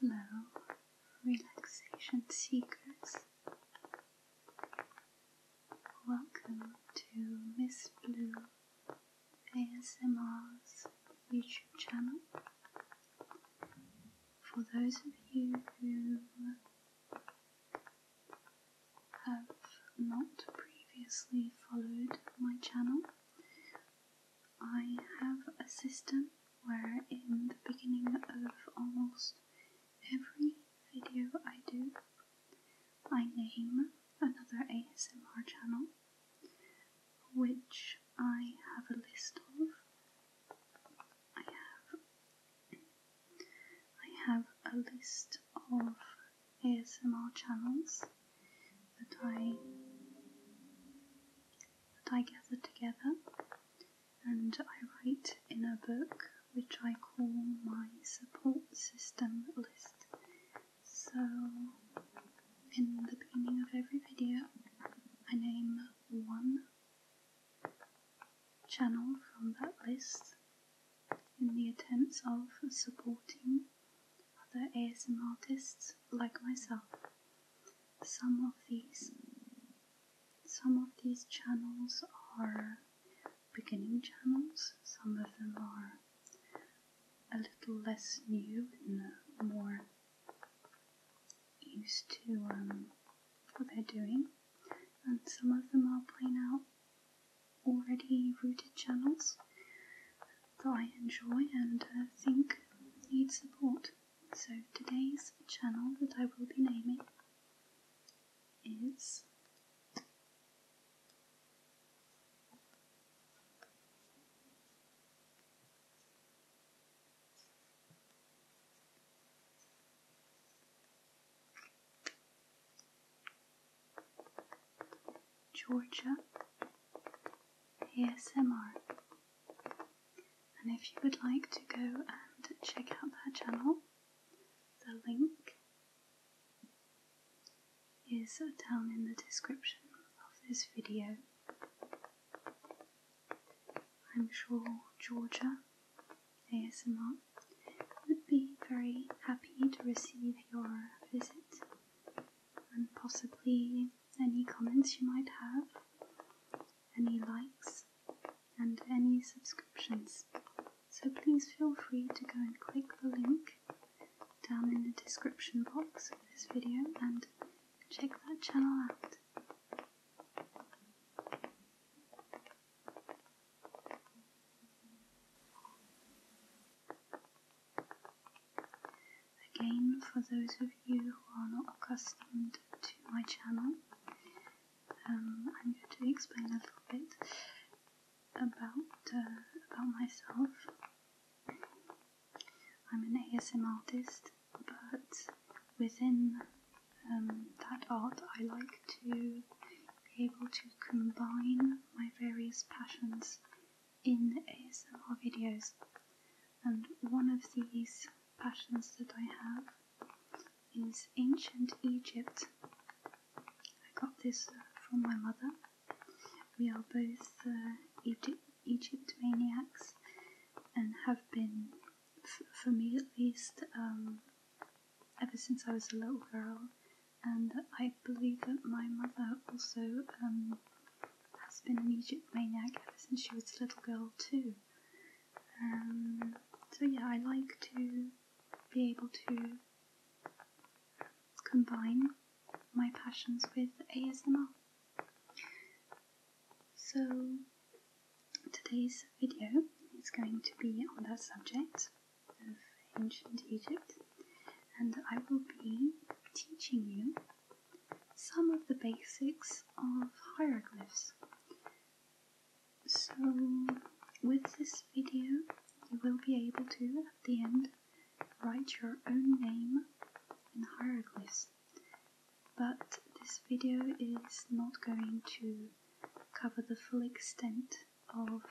Hello, relaxation seekers. Welcome to Miss Blue ASMR's YouTube channel. For those of you who have not previously followed my channel, I have a system where in the beginning of almost every video I do, I name another ASMR channel which I have a list of. I have I have a list of ASMR channels that I that I gather together and I write in a book which I call my support system list. So, in the beginning of every video, I name one channel from that list in the attempts of supporting other ASM artists like myself. Some of these some of these channels are beginning channels, some of them are a little less new and more used to um, what they're doing, and some of them are plain out already rooted channels that I enjoy and uh, think need support. So today's channel that I will be naming is Georgia ASMR. And if you would like to go and check out their channel, the link is down in the description of this video. I'm sure Georgia ASMR would be very happy to receive your visit and possibly any comments you might have any likes, and any subscriptions. So please feel free to go and click the link down in the description box of this video and check that channel out. Again, for those of you who are not accustomed to my channel, um, I'm going to explain a little bit about uh, about myself. I'm an ASM artist, but within um, that art, I like to be able to combine my various passions in ASMR videos. And one of these passions that I have is Ancient Egypt. I got this uh, from my mother. We are both uh, Egypt, Egypt maniacs and have been, for me at least, um, ever since I was a little girl. And I believe that my mother also um, has been an Egypt maniac ever since she was a little girl, too. Um, so yeah, I like to be able to combine my passions with ASMR. So today's video is going to be on that subject of ancient Egypt and I will be teaching you some of the basics of hieroglyphs. So, with this video, you will be able to, at the end, write your own name in hieroglyphs. But this video is not going to cover the full extent of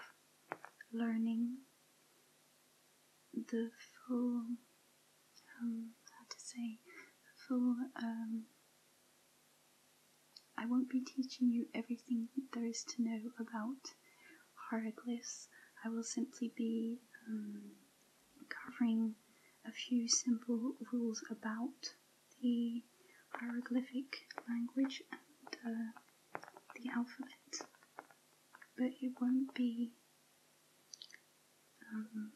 learning the full um, to say, full. Um, I won't be teaching you everything there is to know about hieroglyphs. I will simply be um, covering a few simple rules about the hieroglyphic language and uh, the alphabet, but it won't be um,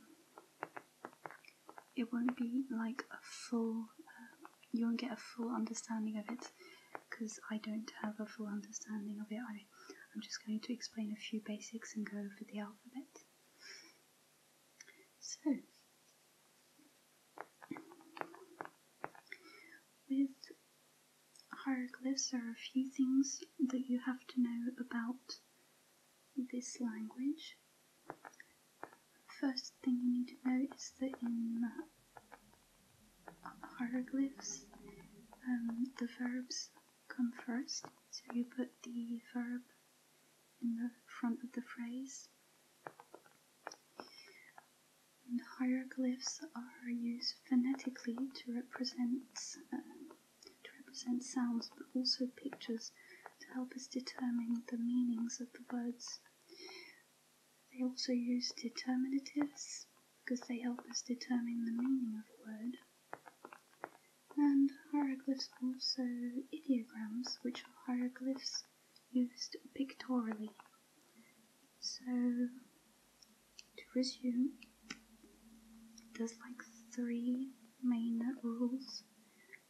it won't be like a full, you won't get a full understanding of it because I don't have a full understanding of it. I, I'm just going to explain a few basics and go over the alphabet. So, with hieroglyphs, there are a few things that you have to know about this language, first thing you need to know is that in uh, hieroglyphs, um, the verbs come first, so you put the verb in the front of the phrase. hieroglyphs are used phonetically to represent uh, to represent sounds but also pictures to help us determine the meanings of the words. They also use determinatives because they help us determine the meaning of a word. And hieroglyphs also ideograms, which are hieroglyphs used pictorially. So, to resume, there's like three main rules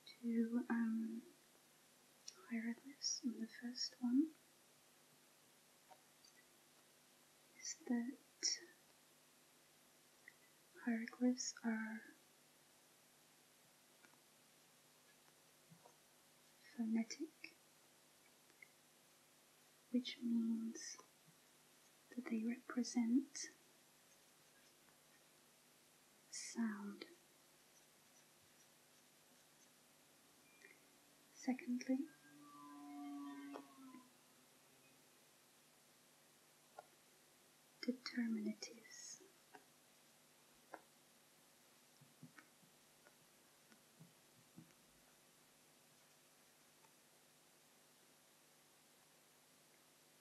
to um, hieroglyphs, hire the first one is that hieroglyphs are phonetic, which means that they represent sound. Secondly, determinatives.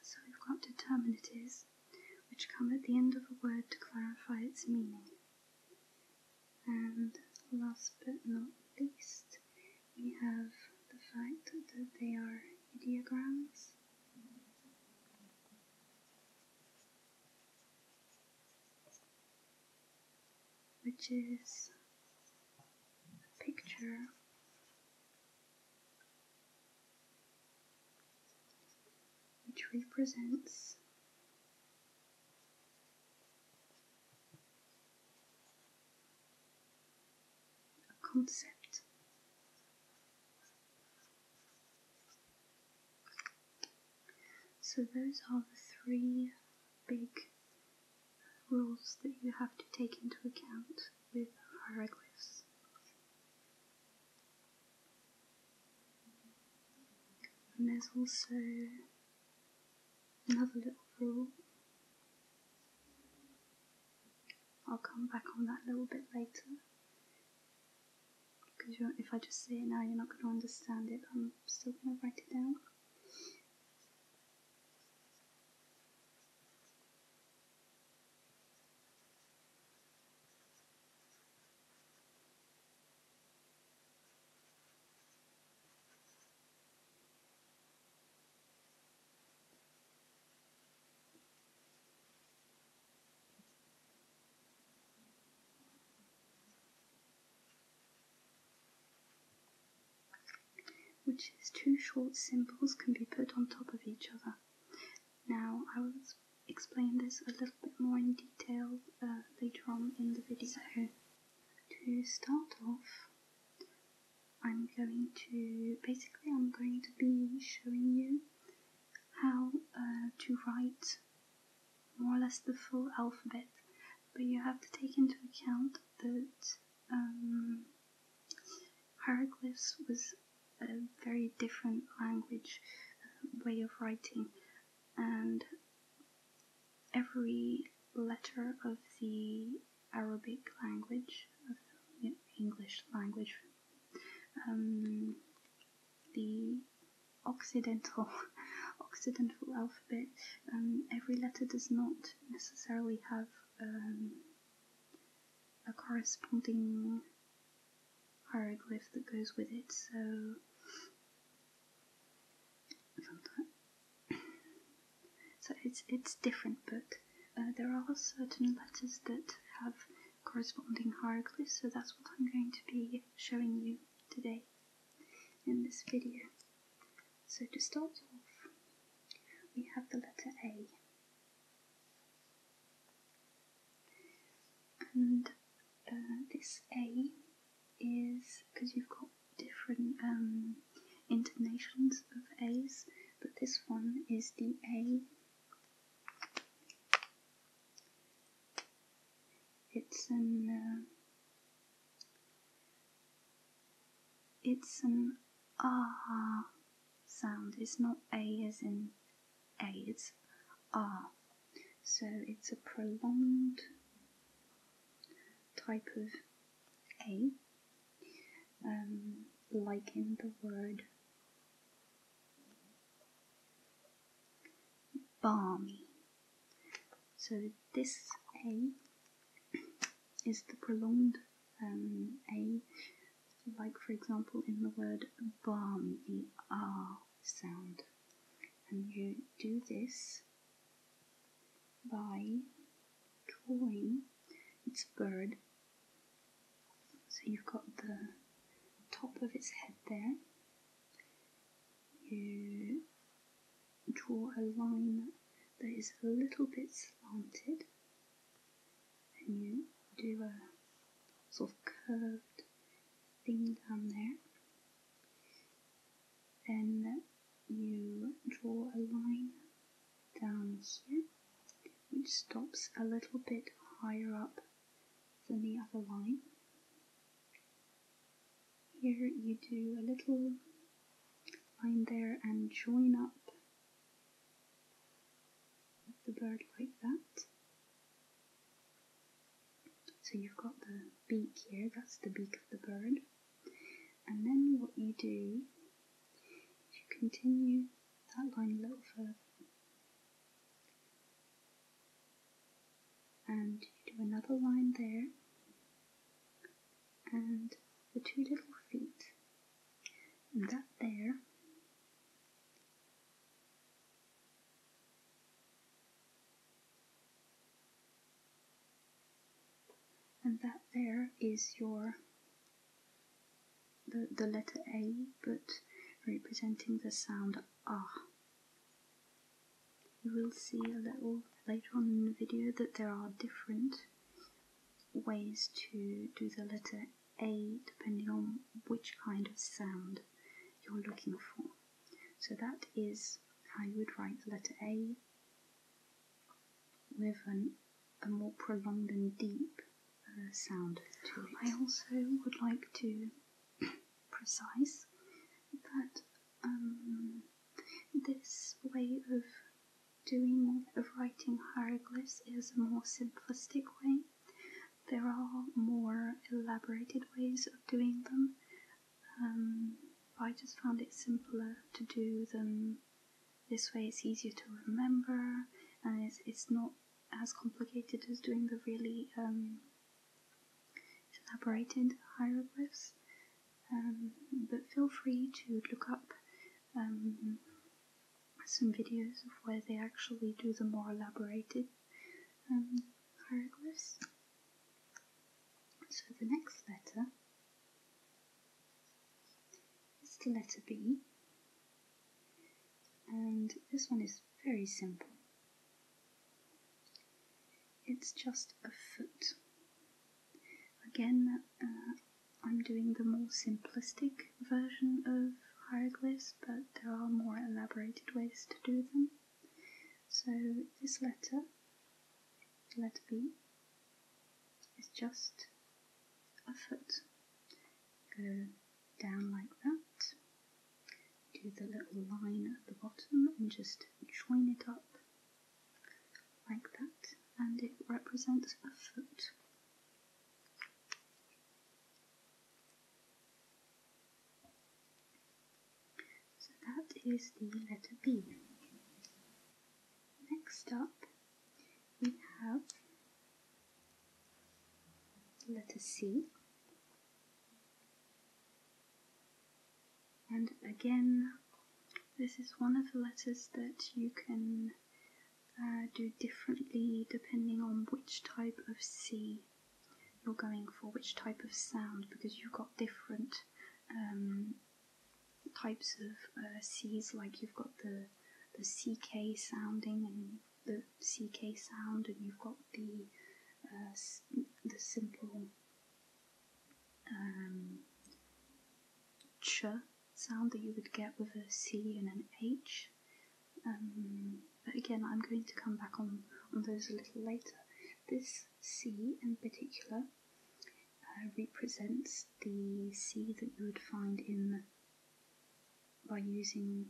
So we've got determinatives which come at the end of a word to clarify its meaning. And last but not least, we have the fact that they are ideograms which is a picture which represents a concept so, those are the three big rules that you have to take into account with hieroglyphs. And there's also another little rule. I'll come back on that a little bit later because if I just say it now, you're not going to understand it. I'm still going to write it down which is two short symbols can be put on top of each other. Now, I will explain this a little bit more in detail uh, later on in the video. to start off, I'm going to, basically I'm going to be showing you how uh, to write more or less the full alphabet, but you have to take into account that um, hieroglyphs was a very different language um, way of writing, and every letter of the Arabic language, English language, um, the Occidental Occidental alphabet. Um, every letter does not necessarily have um, a corresponding hieroglyph that goes with it. So so it's it's different, but uh, there are certain letters that have corresponding hieroglyphs. So that's what I'm going to be showing you today in this video. So to start off, we have the letter A. And uh, this A is, because you've got different um, intonations of A's, but this one is the A it's an uh, it's an ah sound. It's not a as in a. It's R. So it's a prolonged type of a, um, like in the word balmy. So this A is the prolonged um, A, like for example in the word balm, the R sound. And you do this by drawing its bird. So you've got the top of its head there, you draw a line that is a little bit slanted and you do a sort of curved thing down there. Then you draw a line down here which stops a little bit higher up than the other line. Here you do a little line there and join up the bird like that. So you've got the beak here, that's the beak of the bird. And then what you do is you continue that line a little further and do another line there and the two little feet and that there and that there is your the, the letter A but representing the sound ah you will see a little later on in the video that there are different ways to do the letter A depending on which kind of sound you're looking for. So that is how you would write the letter A with a more prolonged and deep uh, sound I also would like to precise, but um, this way of doing of writing hieroglyphs is a more simplistic way. There are more elaborated ways of doing them, um, I just found it simpler to do them this way. It's easier to remember, and it's, it's not as complicated as doing the really um, elaborated hieroglyphs, um, but feel free to look up um, some videos of where they actually do the more elaborated um, hieroglyphs. So the next letter is the letter B, and this one is very simple. It's just a foot. Again, uh, I'm doing the more simplistic version of hieroglyphs, but there are more elaborated ways to do them. So this letter, let B, is just a foot. Go down like that do the little line at the bottom and just join it up like that and it represents a foot. So that is the letter B. Next up we have letter C and again, this is one of the letters that you can uh, do differently depending on which type of C you're going for, which type of sound, because you've got different um, types of uh, C's, like you've got the, the CK sounding and the CK sound, and you've got the uh, the simple um, ch sound that you would get with a C and an H. Um, but again, I'm going to come back on, on those a little later. This C in particular uh, represents the C that you would find in by using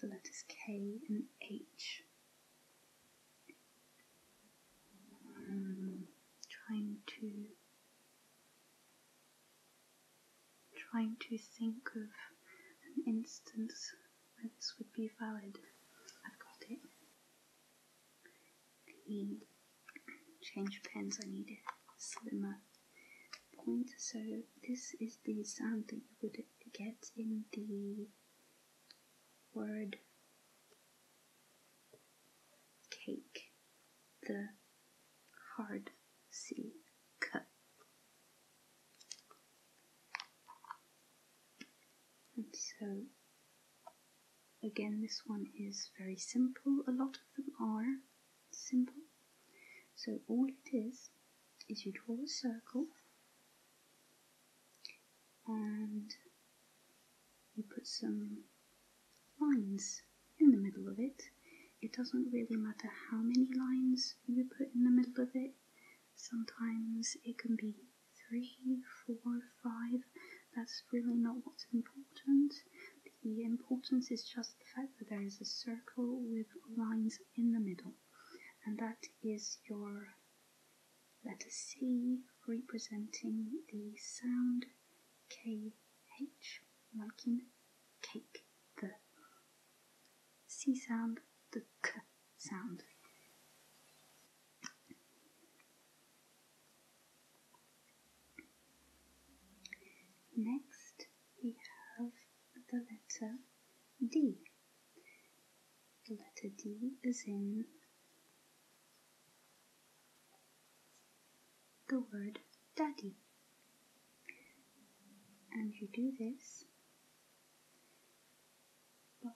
the letters K and H. Um, trying to trying to think of an instance where this would be valid. I've got it. The change pens I need needed slimmer point. So this is the sound that you would get in the word Cake. the hard C cut. And so again this one is very simple. A lot of them are simple. So all it is is you draw a circle and you put some lines in the middle of it. It doesn't really matter how many lines you put in the middle of it, sometimes it can be three, four, five. That's really not what's important. The importance is just the fact that there is a circle with lines in the middle and that is your letter C representing the sound KH, like in cake, the C sound, the K sound. Next, we have the letter D. The letter D is in the word daddy. And you do this by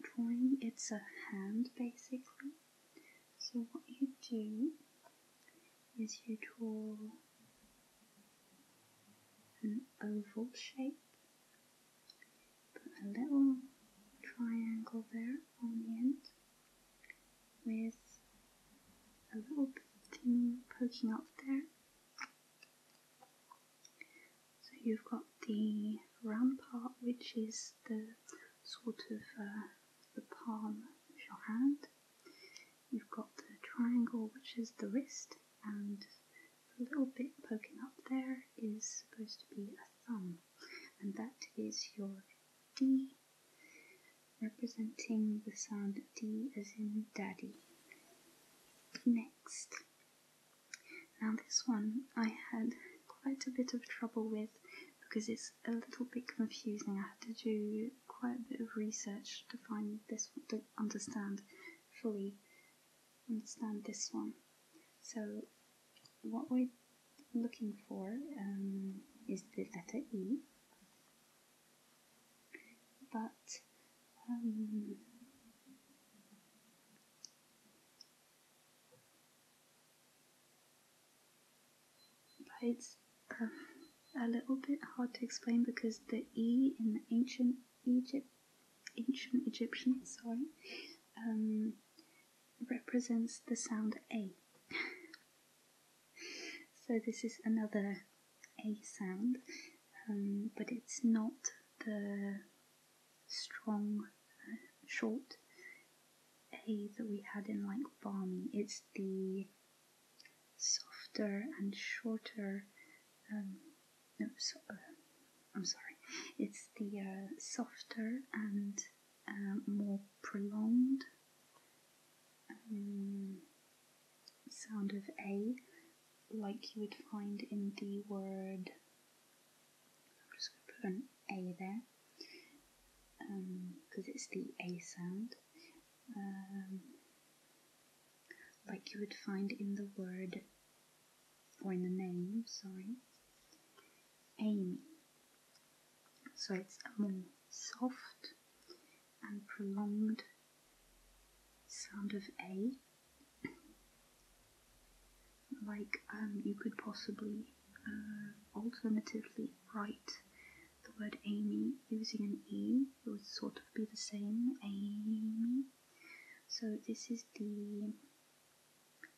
drawing it's a hand basically. So what you do is you draw an oval shape. Put a little triangle there on the end with a little thing poking up there. So you've got the rampart, which is the sort of uh, the palm of your hand, You've got the triangle, which is the wrist, and a little bit poking up there is supposed to be a thumb, and that is your D, representing the sound D as in daddy. Next. Now, this one I had quite a bit of trouble with because it's a little bit confusing. I had to do quite a bit of research to find this one, to understand fully understand this one. So what we're looking for um, is the letter E, but um, but a little bit hard to explain because the E in ancient Egypt, ancient Egyptian, sorry, um, represents the sound A. so this is another A sound, um, but it's not the strong, uh, short A that we had in like farming. It's the softer and shorter. Um, no, uh, I'm sorry. It's the uh, softer and um, more prolonged um, sound of A, like you would find in the word. I'm just going to put an A there because it's the A sound like you would find in the word or in the name, sorry, Amy. So it's a more soft and prolonged sound of A, like um, you could possibly uh, alternatively write the word Amy using an E, it would sort of be the same, Amy. So this is the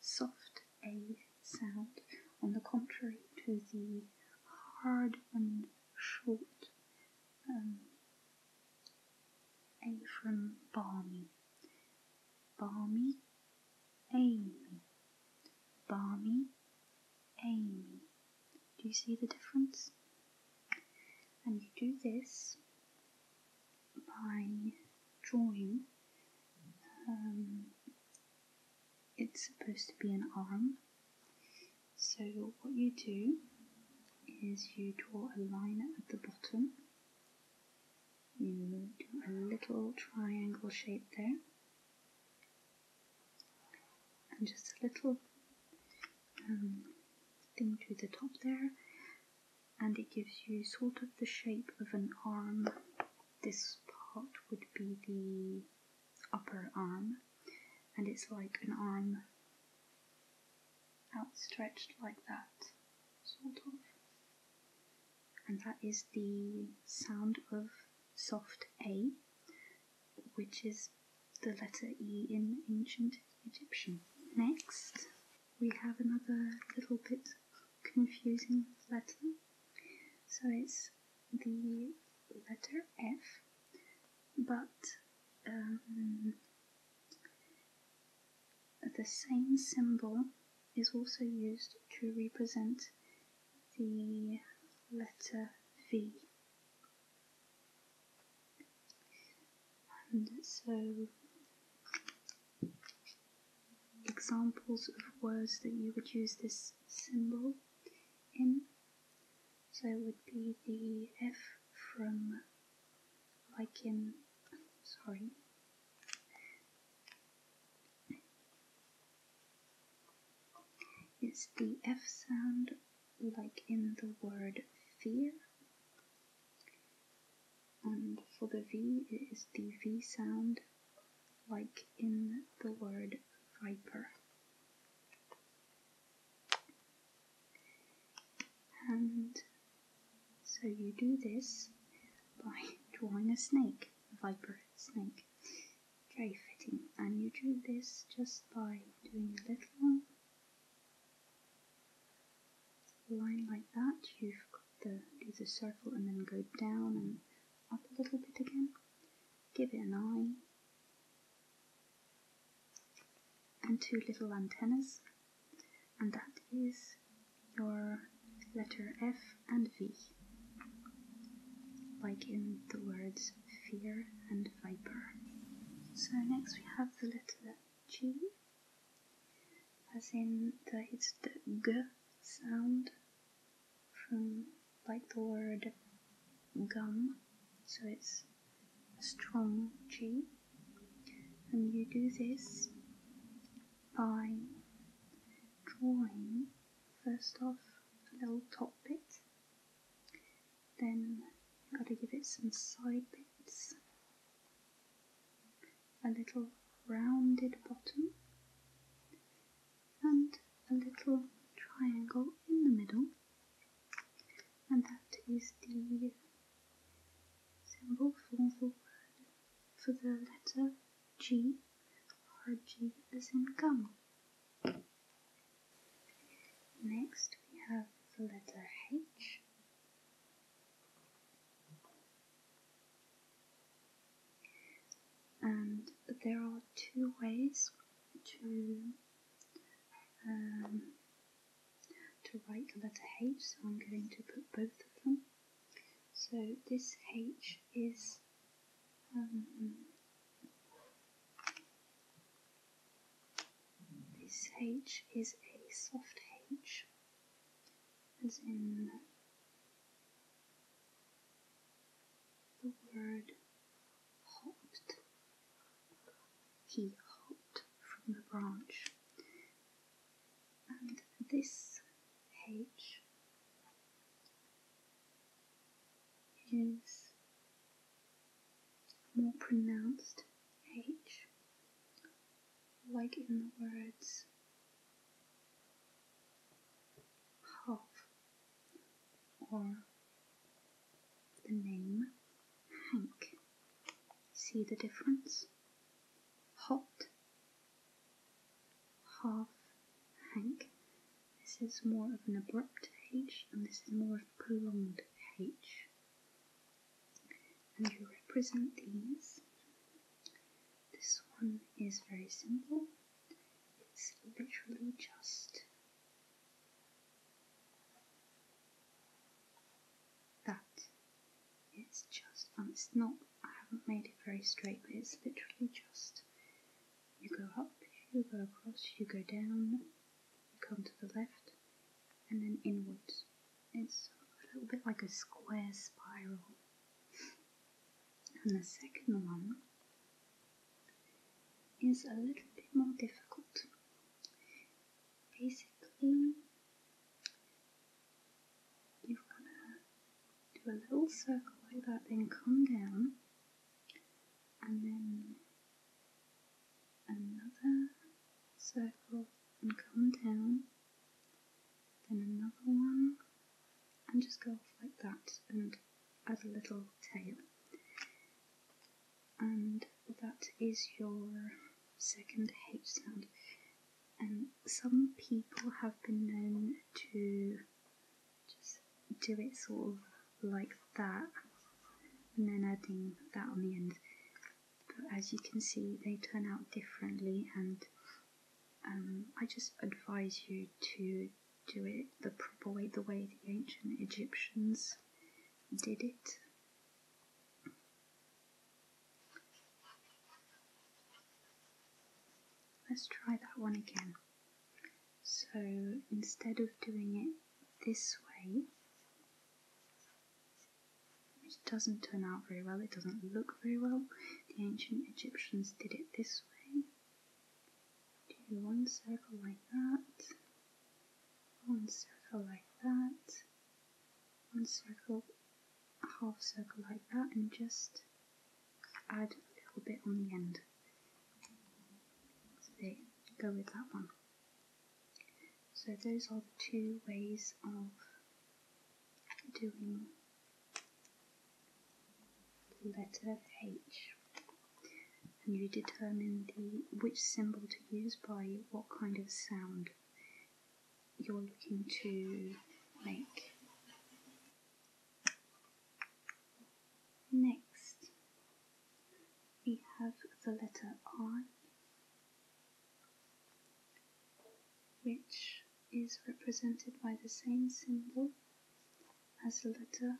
soft A sound, on the contrary to the hard and short um, A from balmy. Balmy, Amy. Balmy, Amy. Do you see the difference? And you do this by drawing. Um, it's supposed to be an arm. So what you do is you draw a line at the bottom. You do a little triangle shape there. And just a little um, thing to the top there and it gives you sort of the shape of an arm. This part would be the upper arm and it's like an arm outstretched like that, sort of. And that is the sound of soft A which is the letter E in ancient Egyptian. Next, we have another little bit confusing Latin. So it's the letter F, but um, the same symbol is also used to represent the letter V. And so, examples of words that you would use this symbol in. So it would be the F from, like in, sorry, it's the F sound like in the word fear. And for the V, it is the V sound, like in the word viper. And so you do this by drawing a snake, a viper snake. Very fitting. And you do this just by doing a little line like that, you've got the the circle and then go down and up a little bit again. Give it an eye. And two little antennas. And that is your letter F and V. Like in the words fear and viper. So next we have the letter G, as in the, it's the G sound from like the word gum, so it's a strong G. And you do this by drawing first off a little top bit then got to give it some side bits, a little rounded bottom, and a little triangle in the middle, and that is the symbol for the word for the letter G or G as in gum. Next we have the letter H. And there are two ways to um, to write the letter H, so I'm going to put both of them. So this H is um, this H is a soft H, as in the word hopped. He hopped from the branch. And this H is more pronounced H, like in the words half or the name Hank. See the difference? Hot, half Hank. This is more of an abrupt H and this is more of a prolonged H and you represent these. This one is very simple, it's literally just that. It's just, and um, it's not, I haven't made it very straight, but it's literally just you go up, you go across, you go down, come to the left, and then inwards. It's a little bit like a square spiral. And the second one is a little bit more difficult. Basically, you're gonna do a little circle like that, then come down, and then another circle and come down, then another one, and just go off like that and add a little tail. And that is your second H sound. And some people have been known to just do it sort of like that and then adding that on the end but as you can see they turn out differently and um, I just advise you to do it the proper way the way the ancient Egyptians did it let's try that one again so instead of doing it this way it doesn't turn out very well, it doesn't look very well. The ancient Egyptians did it this way. Do one circle like that, one circle like that, one circle, a half circle like that, and just add a little bit on the end. So they go with that one. So those are the two ways of doing the letter H. And you determine the which symbol to use by what kind of sound you're looking to make. Next, we have the letter I, which is represented by the same symbol as the letter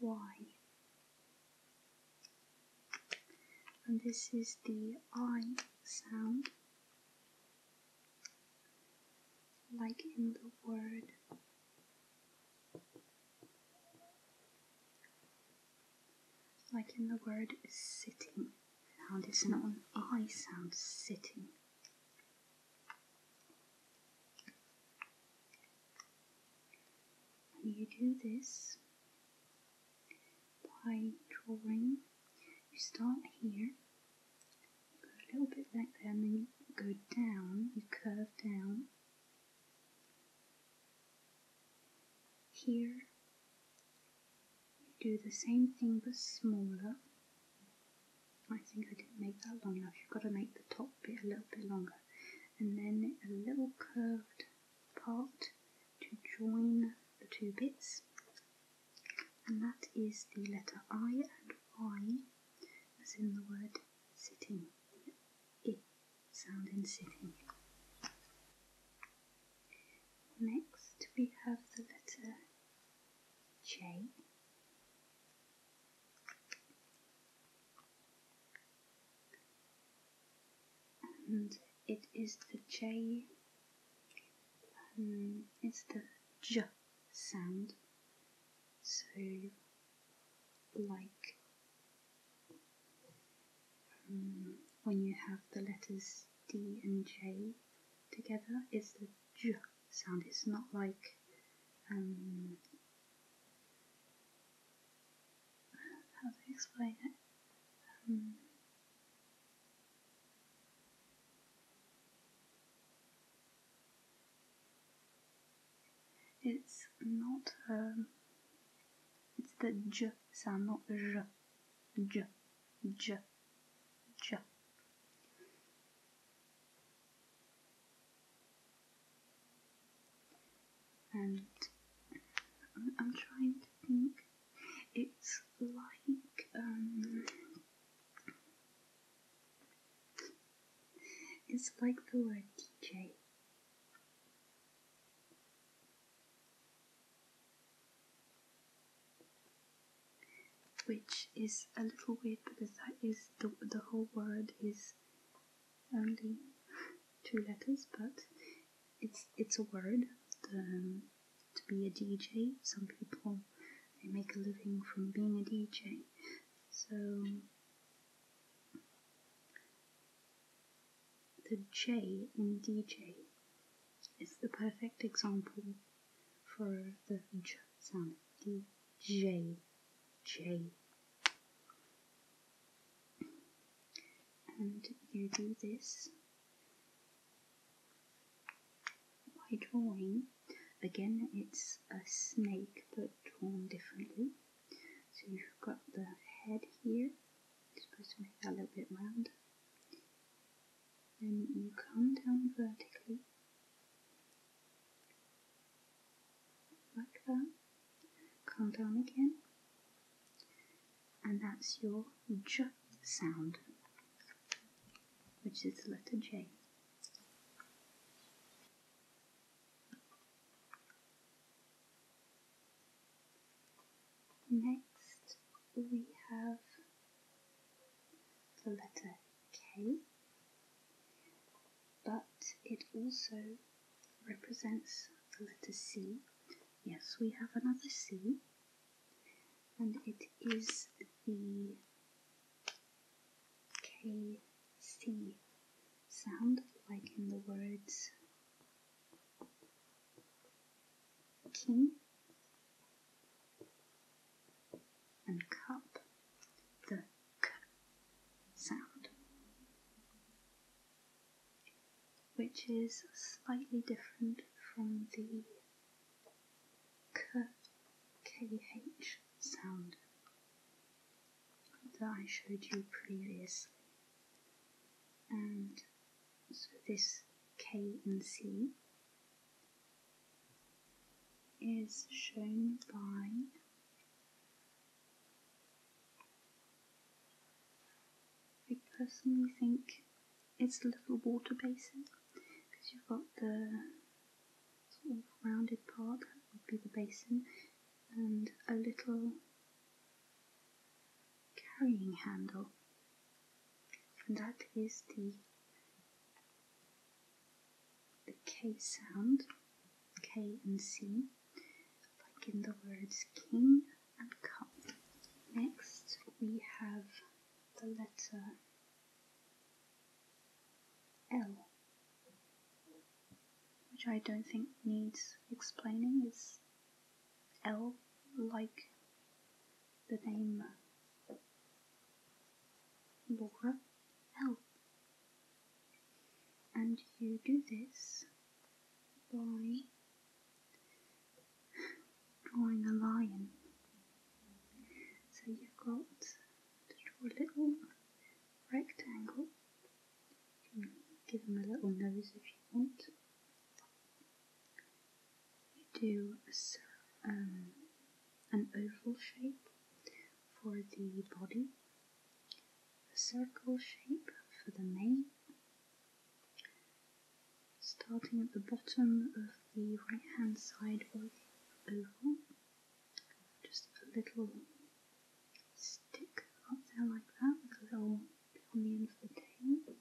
Y. And this is the I sound, like in the word like in the word sitting, how dissonant I sound sitting. you do this by drawing. You start here, go a little bit like that, and then you go down, you curve down here, do the same thing but smaller. I think I didn't make that long enough. You've got to make the top bit a little bit longer. And then a little curved part to join the two bits. And that is the letter I and Y, as in the word sitting sound in sitting. Next we have the letter J. And it is the J, um, it's the J sound. So, like um, when you have the letters D and J together, it's the J sound. It's not like um, how to explain it. Um, it's not um, it's the J sound, not the J. J. J. J. And I'm, I'm trying to think. It's like, um, it's like the word DJ which is a little weird because that is the, the whole word is only two letters but it's it's a word to be a DJ some people they make a living from being a DJ so the J in DJ is the perfect example for the J sound. D J J, And you do this by drawing. Again, it's a snake but drawn differently. So you've got the head here, you're supposed to make that a little bit round. Then you come down vertically, like that. Come down again, and that's your J sound, which is the letter J. Next, we have the letter K, but it also represents the letter C. Yes, we have another C, and it is the KC sound, like in the words king and cup the k sound which is slightly different from the k kh sound that I showed you previously. And so this K and C is shown by I personally think it's a little water basin because you've got the sort of rounded part that would be the basin and a little carrying handle and that is the the K sound, K and C, like in the words king and cup. Next we have the letter L which I don't think needs explaining, is L like the name Laura L. And you do this by drawing a line. So you've got to draw a little rectangle give them a little nose if you want. do um, an oval shape for the body, a circle shape for the mane, starting at the bottom of the right hand side of the oval, just a little stick up there like that with a little bit on the end of the tail,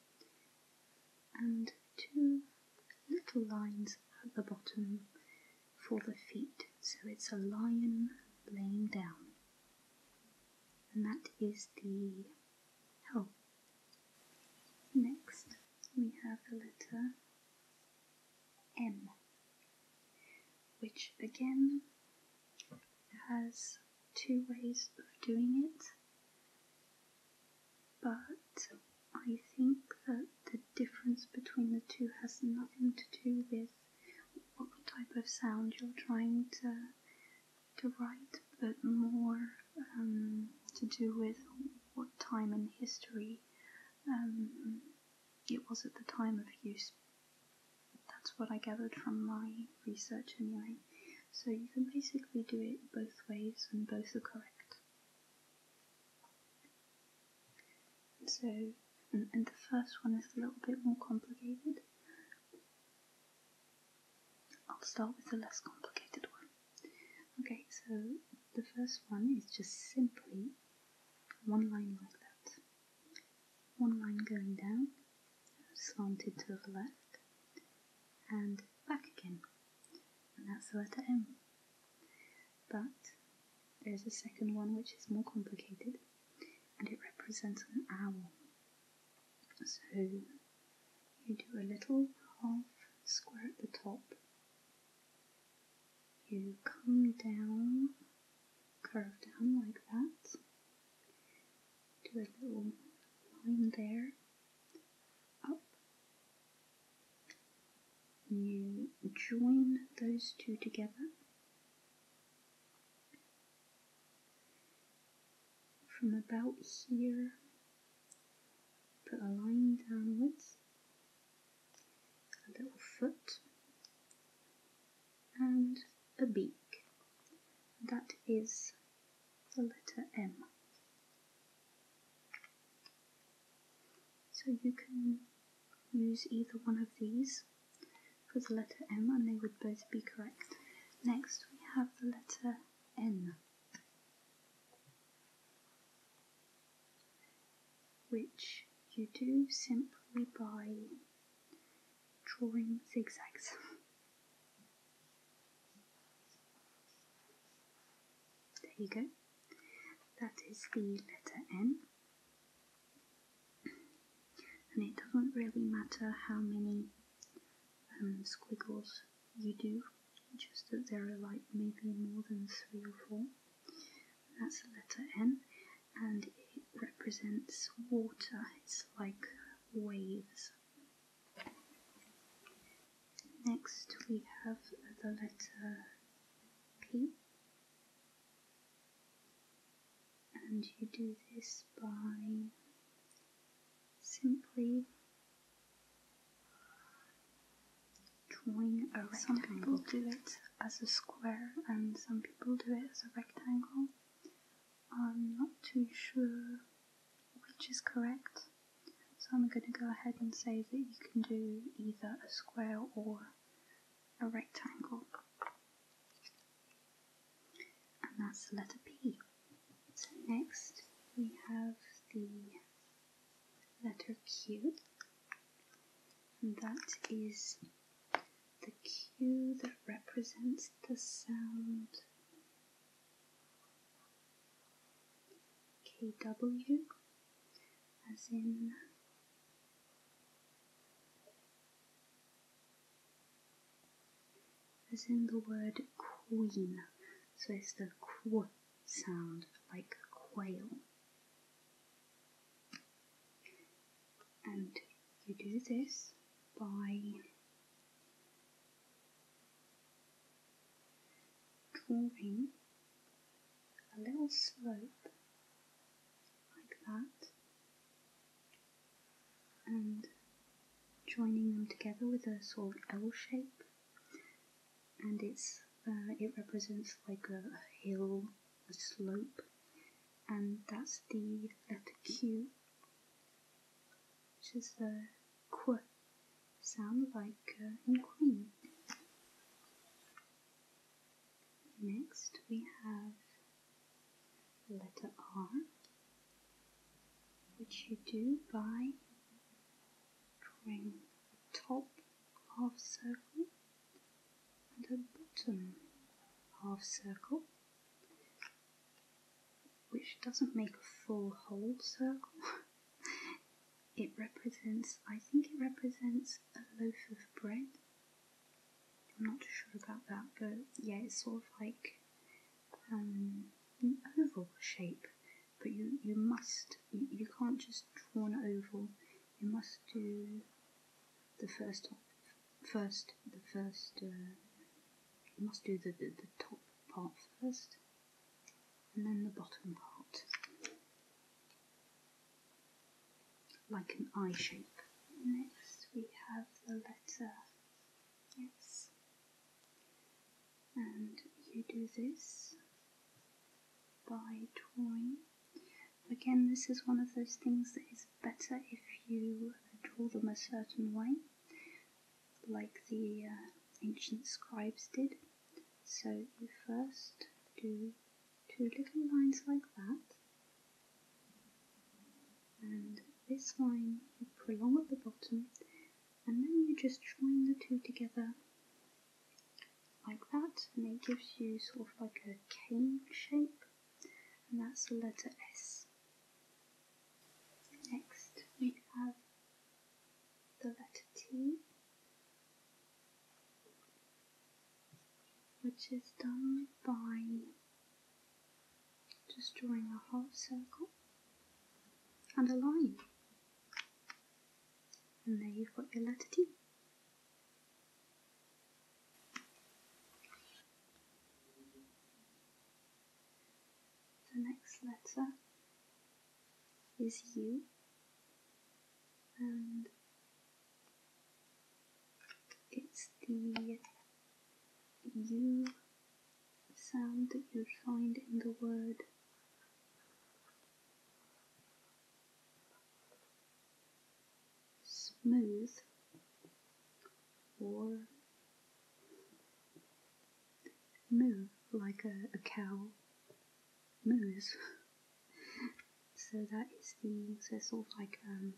and two little lines at the bottom for the feet. So it's a lion laying down, and that is the L. Next, we have the letter M, which again has two ways of doing it, but I think that the difference between the two has nothing to do with what type of sound you're trying to to write, but more um, to do with what time and history um, it was at the time of use that's what I gathered from my research anyway. So you can basically do it both ways and both are correct. so, and the first one is a little bit more complicated. I'll start with the less complicated one. Okay, so the first one is just simply one line like that one line going down, slanted to the left, and back again, and that's the letter M. But there's a second one which is more complicated, and it represents an owl. So you do a little half square at the top, you come down curve down like that. Do a little line there, up. You join those two together. From about here, put a line downwards, a little foot and a beak. That is the letter M. So you can use either one of these for the letter M and they would both be correct. Next we have the letter N, which you do simply by drawing zigzags. There you go. That is the letter N. And it doesn't really matter how many um, squiggles you do, just that there are like maybe more than three or four. that's the letter N and it represents water, it's like waves. Next, we have the letter P, and you do this by simply drawing a rectangle. Some people do it as a square, and some people do it as a rectangle. I'm not too sure which is correct, so I'm going to go ahead and say that you can do either a square or a rectangle. And that's the letter P. So next we have the letter Q, and that is the Q that represents the sound KW as in as in the word queen so it's the qu sound like quail and you do this by drawing a little slope like that and joining them together with a sort of L shape and it's uh, it represents like a hill, a slope and that's the letter Q which is the qu sound like uh, in queen. Next we have letter R, which you do by drawing the top half circle and a bottom half circle which doesn't make a full whole circle. it represents, I think it represents a loaf of bread. I'm not sure about that, but yeah, it's sort of like um, an oval shape. But you, you must, you, you can't just draw an oval, you must do the first octave first, the first, uh, you must do the, the, top part first, and then the bottom part, like an eye shape. Next we have the letter S, and you do this by drawing. Again, this is one of those things that is better if you draw them a certain way, like the uh, ancient scribes did. So you first do two little lines like that, and this line you prolong at the bottom, and then you just join the two together like that, and it gives you sort of like a cane shape and that's the letter S. Next we have the letter T, which is done by just drawing a half circle and a line. And there you've got your letter T. The next letter is U and it's the U sound that you'd find in the word smooth or moo like a, cow moves. so that is the so it's sort of like um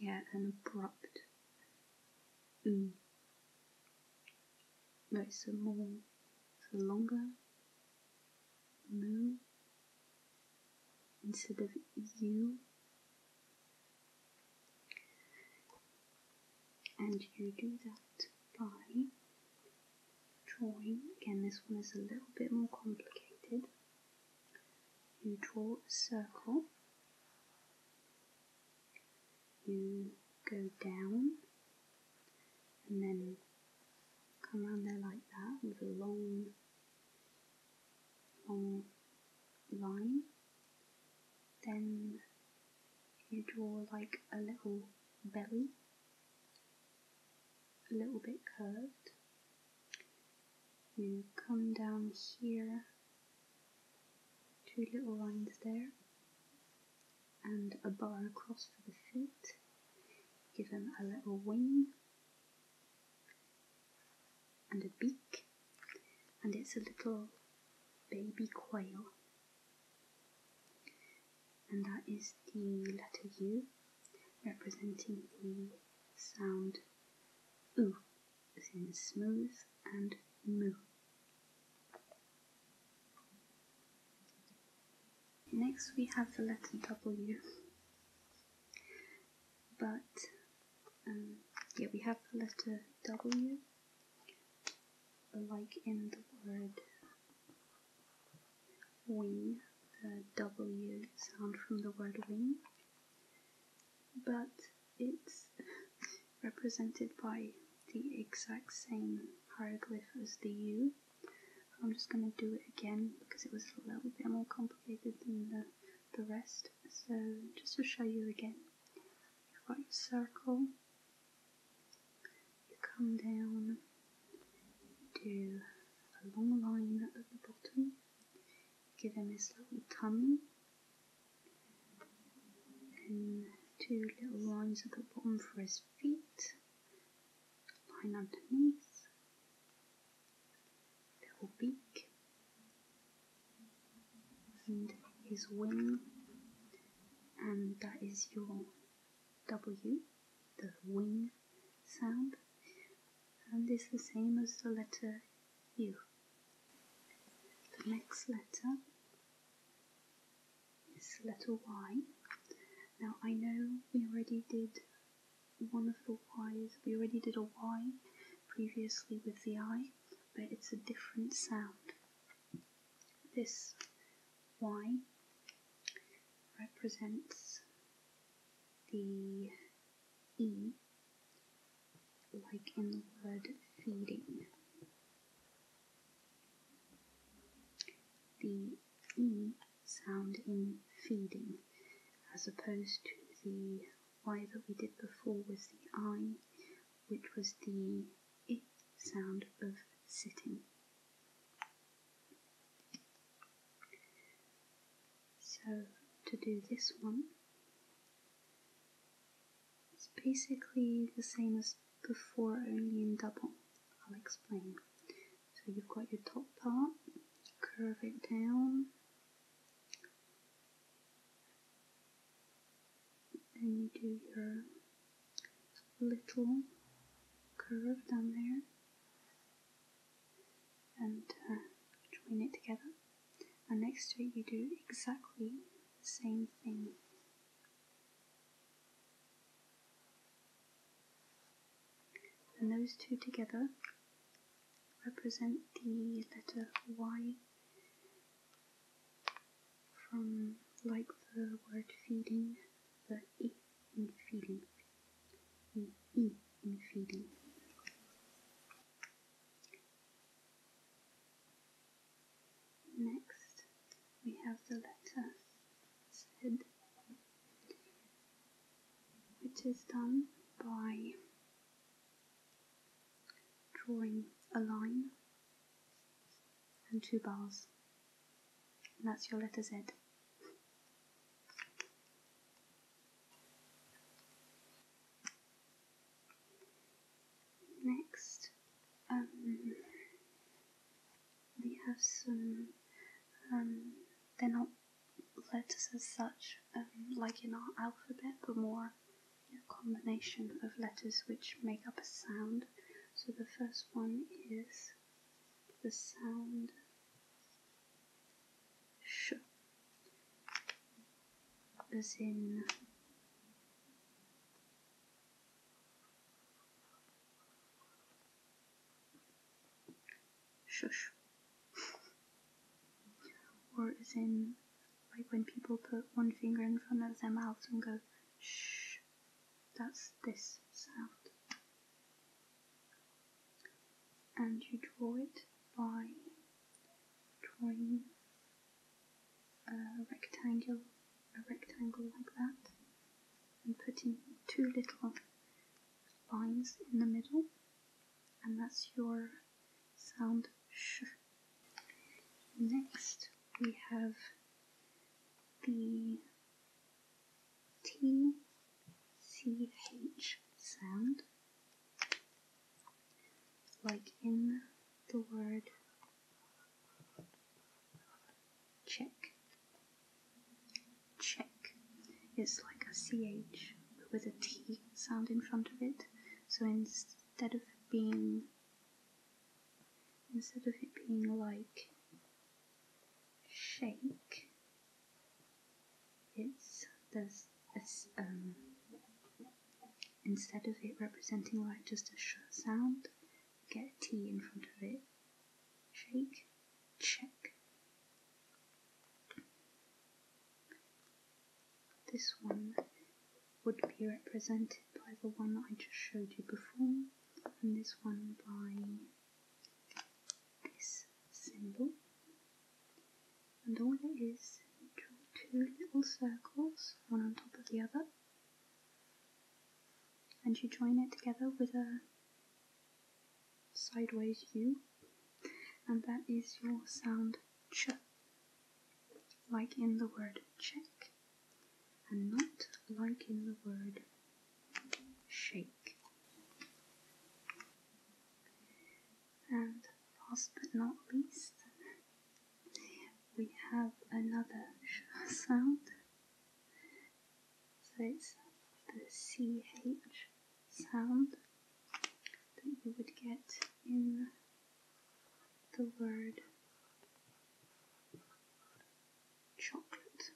yeah an abrupt mm. No, a more so longer moo instead of you and you do that by drawing. Again, this one is a little bit more complicated. You draw a circle, you go down, and then come around there like that with a long Long line. then you draw like a little belly, a little bit curved. You come down here, two little lines there, and a bar across for the feet. Give them a little wing and a beak, and it's a little baby quail, and that is the letter U representing the sound oo, as in smooth and moo. Next we have the letter W, but um, yeah, we have the letter W, like in the word wing, the W sound from the word wing, but it's represented by the exact same hieroglyph as the U. I'm just going to do it again because it was a little bit more complicated than the the rest. So just to show you again, you've got your circle, you come down, do a long line at the bottom, give him his little tummy, then two little lines at the bottom for his feet, line underneath, little beak and his wing, and that is your W, the wing sound, and is the same as the letter U. The next letter is little Y. Now I know we already did one of the Y's. We already did a Y previously with the I, but it's a different sound. This Y represents the E, like in the word feeding. The E sound in feeding, as opposed to the eye that we did before was the I, which was the I sound of sitting. So to do this one, it's basically the same as before, only in double. I'll explain. So you've got your top part, curve it down, and you do your little curve down there and uh, join it together and next to it you do exactly the same thing and those two together represent the letter Y from like the word feeding, the E in feeding, the E in feeding. Next, we have the letter Z, which is done by drawing a line and two bars. that's your letter Z. Next, um, we have some, um, they're not letters as such, um, like in our alphabet, but more a combination of letters which make up a sound. So the first one is the sound sh, as in shush. or as in, like when people put one finger in front of their mouth and go, shh, that's this sound. And you draw it by drawing a rectangle, a rectangle like that, and putting two little lines in the middle, and that's your sound sh. Next, we have the T C H sound, like in the word check. Check It's like a CH with a T sound in front of it. So instead of being instead of it being like shake, it's there's a, um, instead of it representing like just a sh sound, get a T in front of it. Shake, check. This one would be represented by the one I just showed you before, and this one by this symbol. And all it is, draw two little circles, one on top of the other, and you join it together with a sideways U, and that is your sound ch, like in the word check, and not like in the word shake. And last but not least, we have another sh sound. So it's the ch sound that you would get in the word chocolate,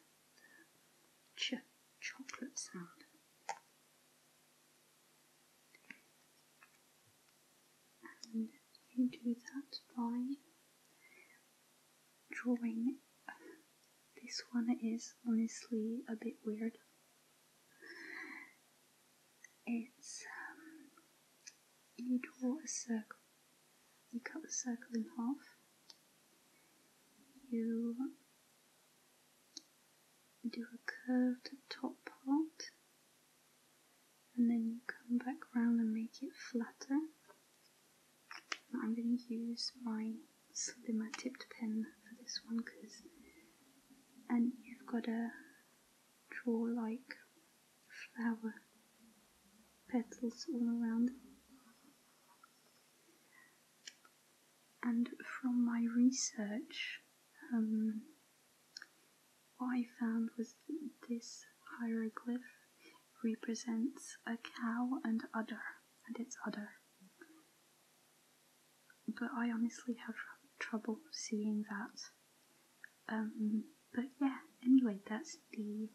ch chocolate sound. And you do that by drawing. This one is honestly a bit weird it's um, you draw a circle, you cut the circle in half, you do a curved top part, and then you come back round and make it flatter. I'm going to use my slimmer tipped pen for this one because and you've got to draw like flower petals all around. And from my research, um, what I found was this hieroglyph represents a cow and udder, and its udder but I honestly have trouble seeing that. Um, but yeah, anyway, that's the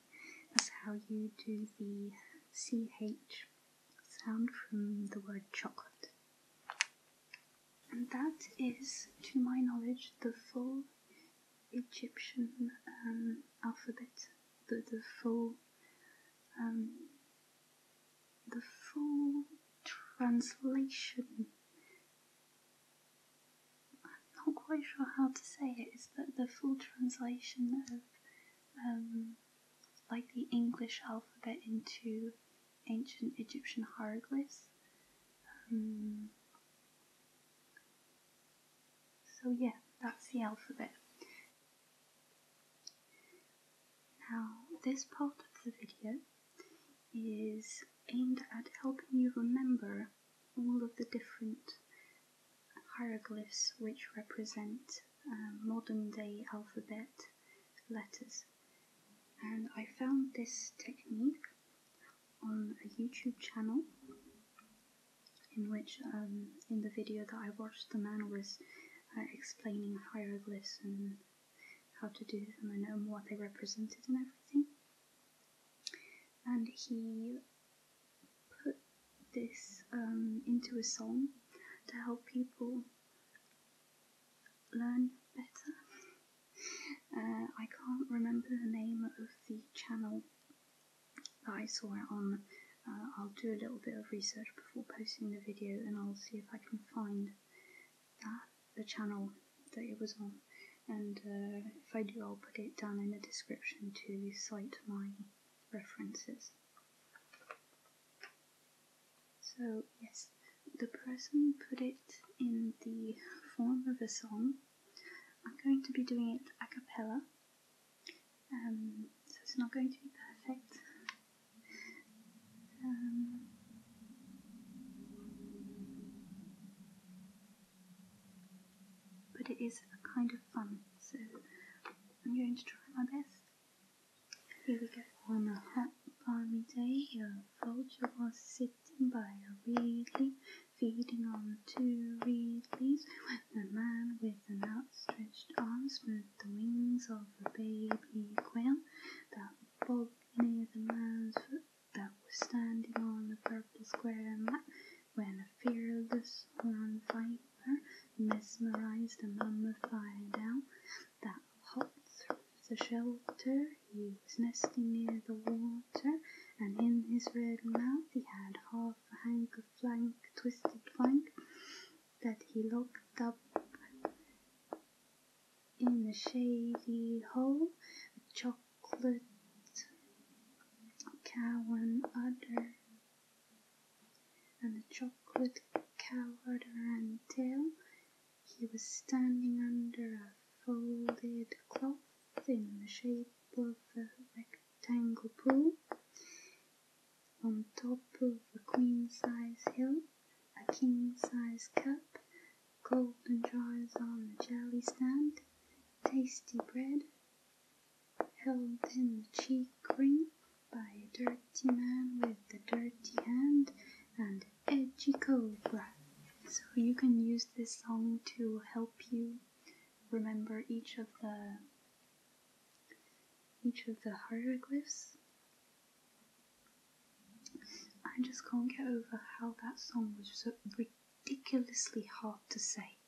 that's how you do the ch sound from the word chocolate. And that is, to my knowledge, the full Egyptian um, alphabet, the, the full um, the full translation. I'm not quite sure how to say it. Is that the full translation of um, like the English alphabet into ancient Egyptian hieroglyphs? Um, so yeah, that's the alphabet. Now, this part of the video is aimed at helping you remember all of the different hieroglyphs which represent um, modern day alphabet letters. And I found this technique on a YouTube channel in which, um, in the video that I watched, the man was uh, explaining hieroglyphs and how to do them and, what they represented and everything. And he put this um, into a song to help people learn better. Uh, I can't remember the name of the channel that I saw it on. Uh, I'll do a little bit of research before posting the video and I'll see if I can find the channel that it was on, and uh, if I do, I'll put it down in the description to cite my references. So, yes, the person put it in the form of a song. I'm going to be doing it a cappella, um, so it's not going to be perfect. Um, but it is kind of fun, so I'm going to try my best. Here we go. On a hot balmy day, a vulture was sitting by a reed feeding on two reed leaves, when a man with an outstretched arm smote the wings of a baby quail that bog near the man's foot that was standing on the purple square mat when a fearless horn viper mesmerized a mummified down that hopped through the shelter. He was nesting near the water, and in his red mouth he had half a hank of plank, twisted plank, that he locked up in the shady hole, a chocolate cow and udder, and a chocolate cow udder and tail. He was standing under a folded cloth in the shape of a rectangle pool on top of a queen size hill a king-size cup, golden jars on the jelly stand, tasty bread held in the cheek ring by a dirty man with a dirty hand, and edgy cobra. So you can use this song to help you remember each of the each of the hieroglyphs I just can't get over how that song was so ridiculously hard to say.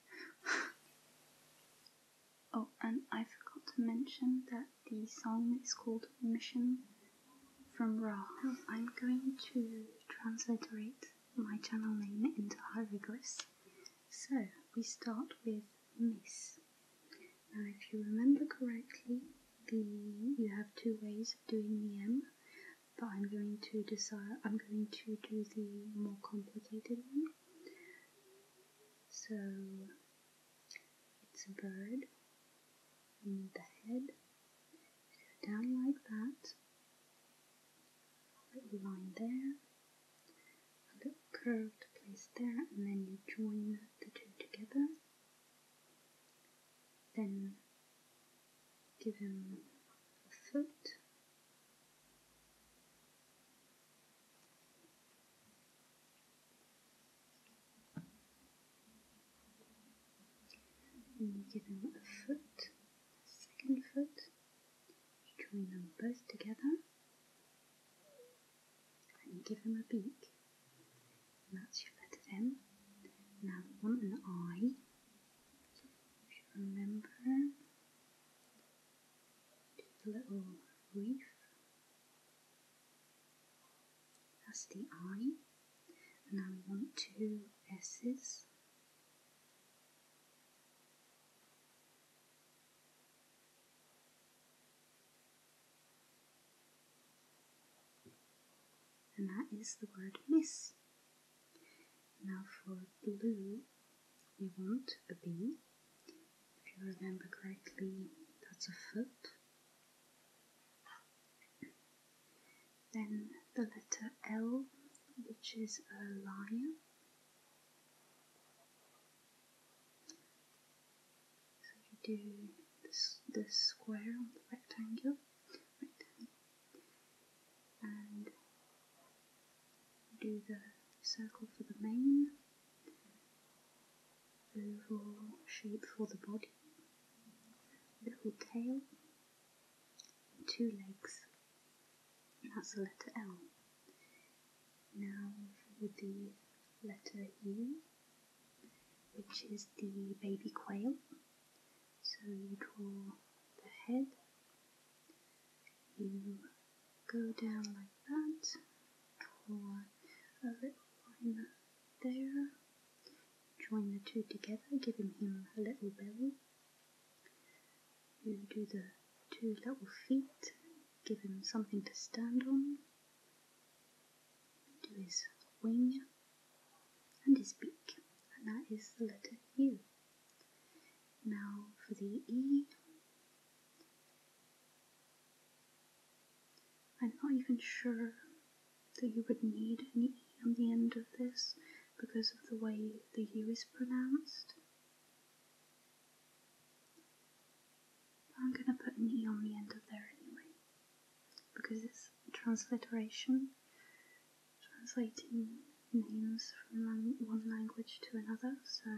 oh, and I forgot to mention that the song is called Mission from Ra. I'm going to transliterate my channel name into hieroglyphs. So we start with Miss. Now, if you remember correctly, the you have two ways of doing the M, but I'm going to decide I'm going to do the more complicated one. So it's a bird and the head. Go down like that. A little line there, a little curve to place there, and then you join the two together. Then give him a foot. And give him a foot, a second foot, join them both together, and give them a beak. And that's your letter M. Now we want an eye. If you remember, the little reef. That's the eye. And now we want two S's. And that is the word miss. Now for blue, we want a B. If you remember correctly, that's a foot. Then the letter L, which is a lion. So you do this, square on the rectangle, and do the circle for the main, oval shape for the body, little tail, two legs. That's the letter L. Now with the letter U, which is the baby quail. So you draw the head, you go down like that, draw a little line there, join the two together, giving him a little belly. You do the two little feet, give him something to stand on to his wing and his beak, and that is the letter U. Now for the E, I'm not even sure that you would need an E on the end of this because of the way the U is pronounced. I'm gonna put an E on the end of there anyway, because it's transliteration, translating names from one language to another, so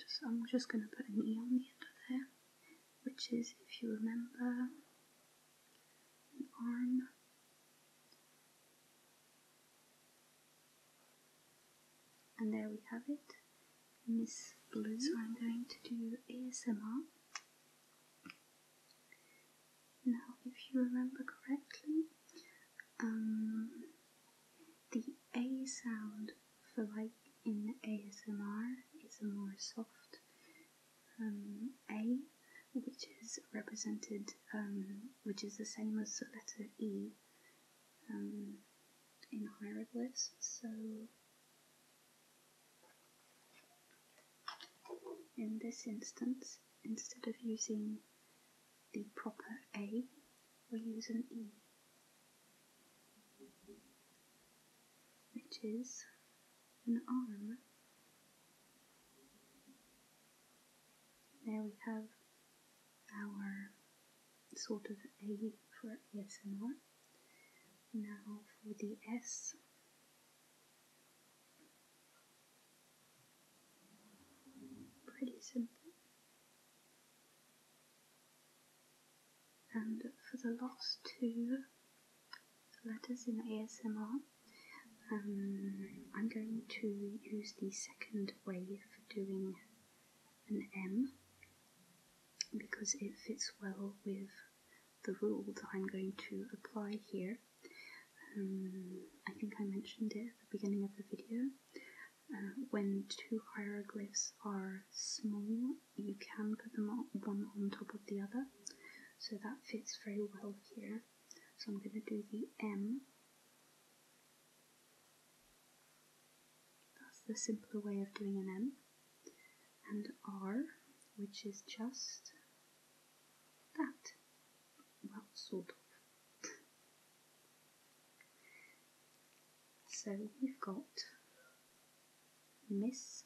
just, I'm just gonna put an E on the end of there, which is, if you remember, an arm. And there we have it. Miss Blue, so I'm going to do ASMR. Now, if you remember correctly, um, the A sound for like in ASMR is a more soft um, A, which is represented, um, which is the same as the letter E um, in hieroglyphs. So in this instance, instead of using the proper A, we use an E, which is an R. There we have our sort of A for and R. Now for the S. Pretty simple. And for the last two letters in ASMR, um, I'm going to use the second way for doing an M because it fits well with the rule that I'm going to apply here. Um, I think I mentioned it at the beginning of the video. Uh, when two hieroglyphs are small, you can put them one on top of the other. So that fits very well here. So I'm going to do the M. That's the simpler way of doing an M and R, which is just that. Well, sort of. So we've got Miss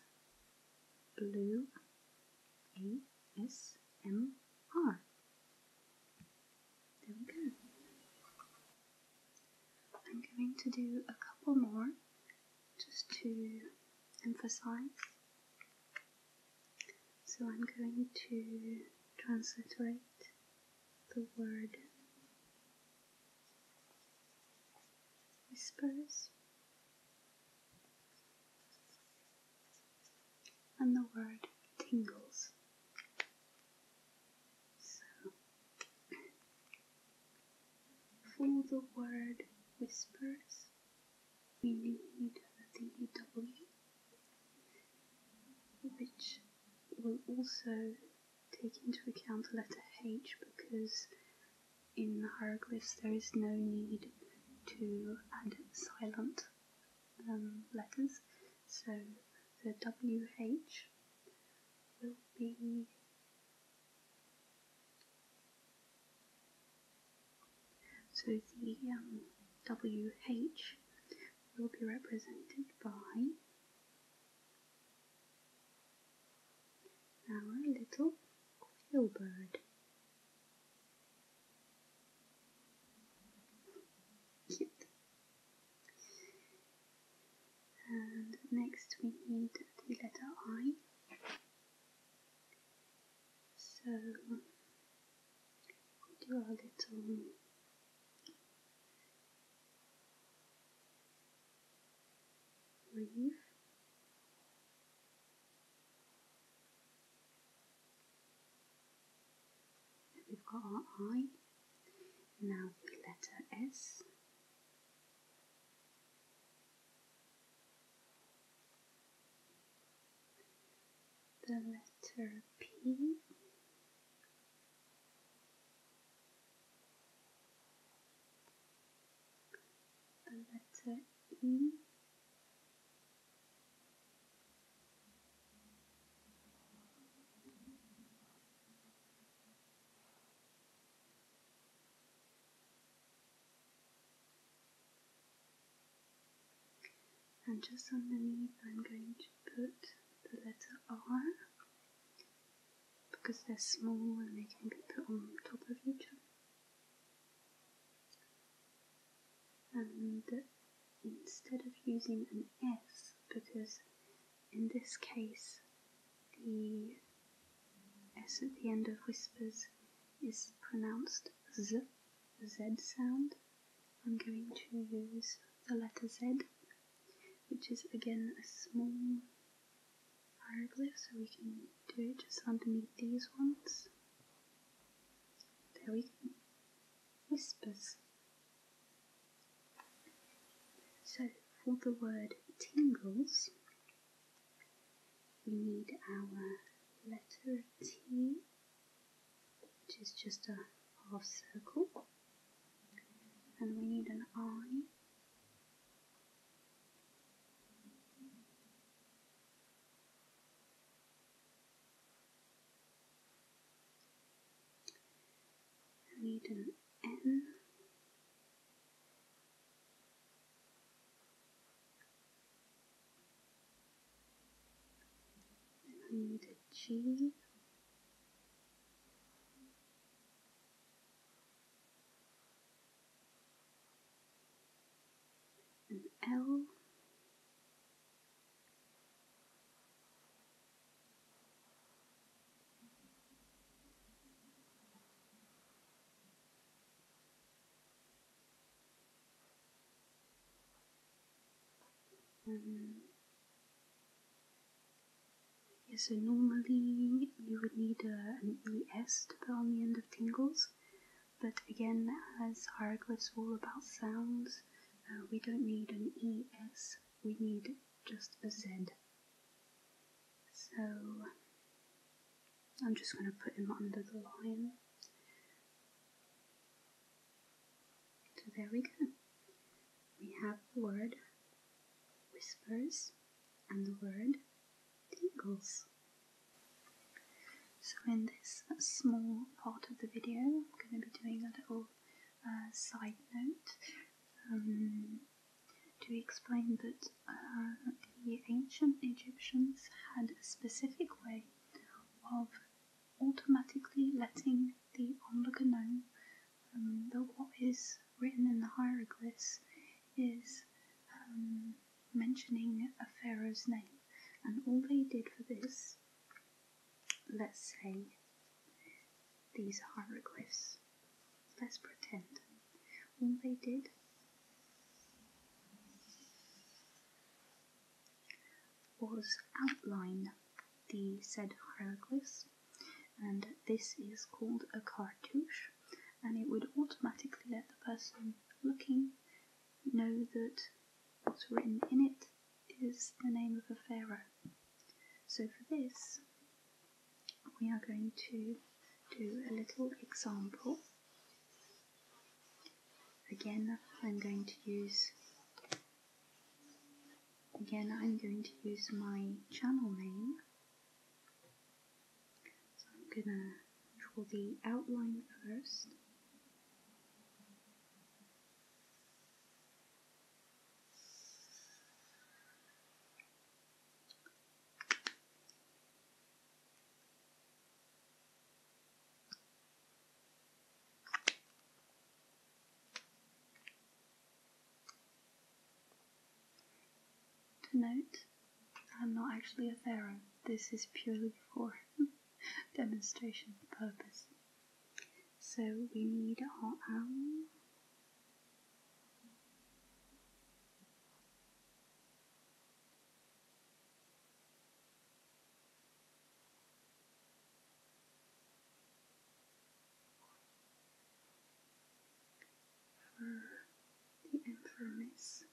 Blue ASMR. There we go. I'm going to do a couple more just to emphasize. So I'm going to transliterate the word whispers and the word tingles. So for the word whispers, we need the W, which will also take into account the letter H because in hieroglyphs there is no need to add silent um, letters. So the WH will be so the um, WH will be represented by our little quail bird. Cute. And next we need the letter I. So we do our little reef. We've got our I. Now the letter S the letter P the letter E and just underneath, I'm going to put the letter R because they're small and they can be put on top of each other. And instead of using an S, because in this case, the S at the end of whispers is pronounced Z, Z sound. I'm going to use the letter Z, which is again a small hieroglyph, so we can do it just underneath these ones. There we go. Whispers. So for the word tingles, we need our letter T, which is just a half circle, and we need an I. We need an in. Then I need L. Um, so normally you would need an ES to put on the end of tingles, but again, as hieroglyphs are all about sounds, uh, we don't need an ES, we need just a Z so I'm just going to put him under the line. So there we go. We have the word whispers and the word eagles. So in this small part of the video, I'm going to be doing a little uh, side note. Um, to explain that uh, the ancient Egyptians had a specific way of automatically letting the onlooker know um, that what is written in the hieroglyphs is um, mentioning a pharaoh's name. And all they did for this, let's say, these hieroglyphs. Let's pretend. All they did was outline the said hieroglyphs, and this is called a cartouche, and it would automatically let the person looking know that what's written in it is the name of a pharaoh. So for this, we are going to do a little example. Again, I'm going to use again I'm going to use my channel name. So I'm gonna draw the outline first. To note, I'm not actually a pharaoh, this is purely for demonstration purpose. So we need our owl the infirmities.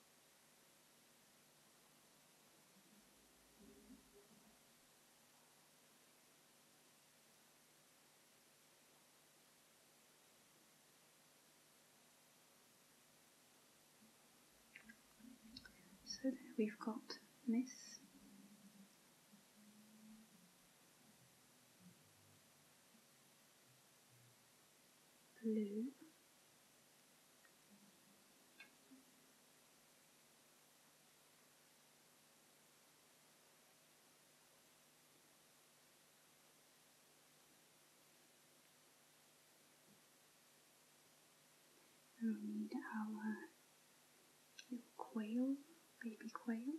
So there we've got Miss Blue. We need our little uh, quail, baby quail.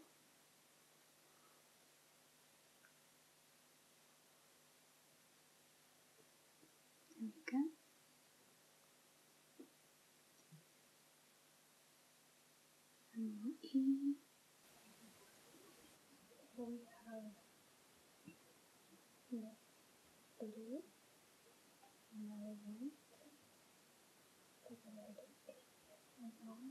There we go and E. We have yeah, blue, another one, the red and one.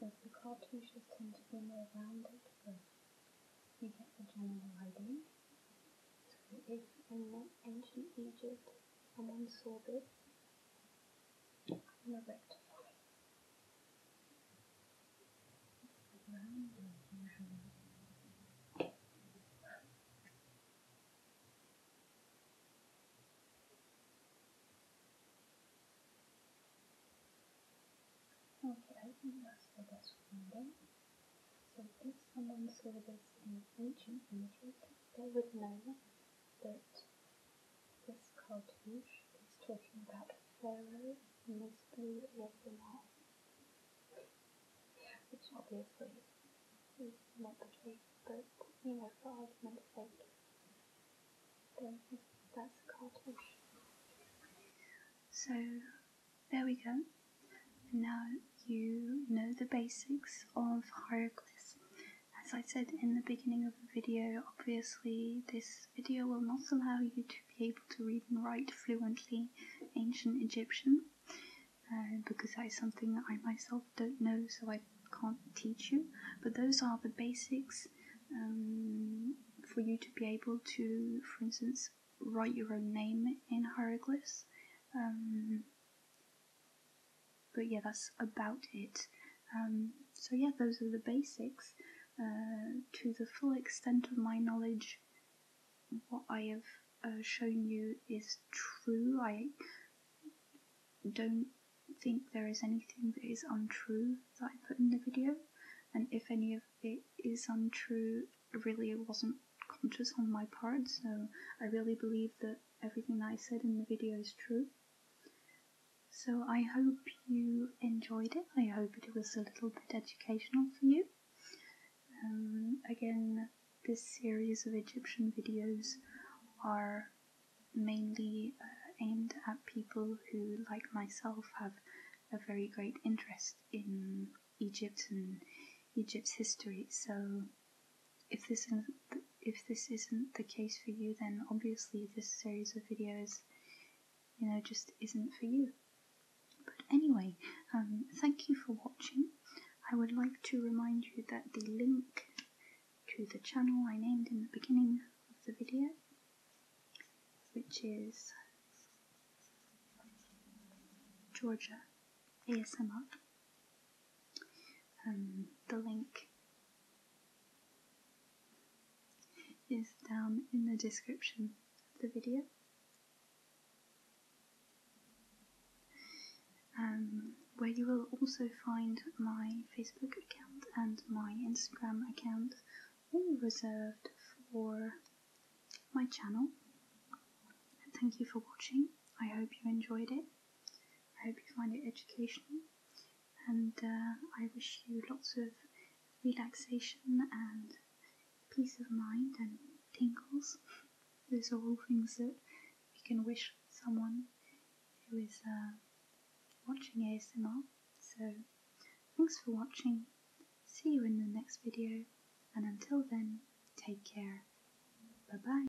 As the cartouches tend to be more rounded first, you get the general idea. So if in ancient Egypt someone saw this, Okay, I think that's the best one window. So if someone saw this in ancient Egypt, they would know that this cartouche is talking about Pharaoh mostly over that, which obviously is not the case, but you know, for argument's sake, then that's a cartouche. So there we go. now you know the basics of hieroglyphs. As I said in the beginning of the video, obviously this video will not allow you to be able to read and write fluently ancient Egyptian uh, because that is something that I myself don't know so I can't teach you. But those are the basics um, for you to be able to, for instance, write your own name in hieroglyphs. Um, but yeah, that's about it. Um, so yeah, those are the basics. Uh, to the full extent of my knowledge, what I have uh, shown you is true. I don't think there is anything that is untrue that I put in the video, and if any of it is untrue, really it wasn't conscious on my part, so I really believe that everything I said in the video is true. So I hope you enjoyed it. I hope it was a little bit educational for you. Um, again, this series of Egyptian videos are mainly uh, aimed at people who, like myself, have a very great interest in Egypt and Egypt's history. So if this isn't the, if this isn't the case for you, then obviously this series of videos, you know, just isn't for you. But anyway, um, thank you for watching. I would like to remind you that the link to the channel I named in the beginning of the video, which is Georgia ASMR. Um, the link is down in the description of the video. Um, where you will also find my Facebook account and my Instagram account, all reserved for my channel. And thank you for watching. I hope you enjoyed it. I hope you find it educational and uh, I wish you lots of relaxation and peace of mind and tingles. Those are all things that we can wish someone who is uh, watching ASMR. So thanks for watching, see you in the next video and until then take care. Bye bye.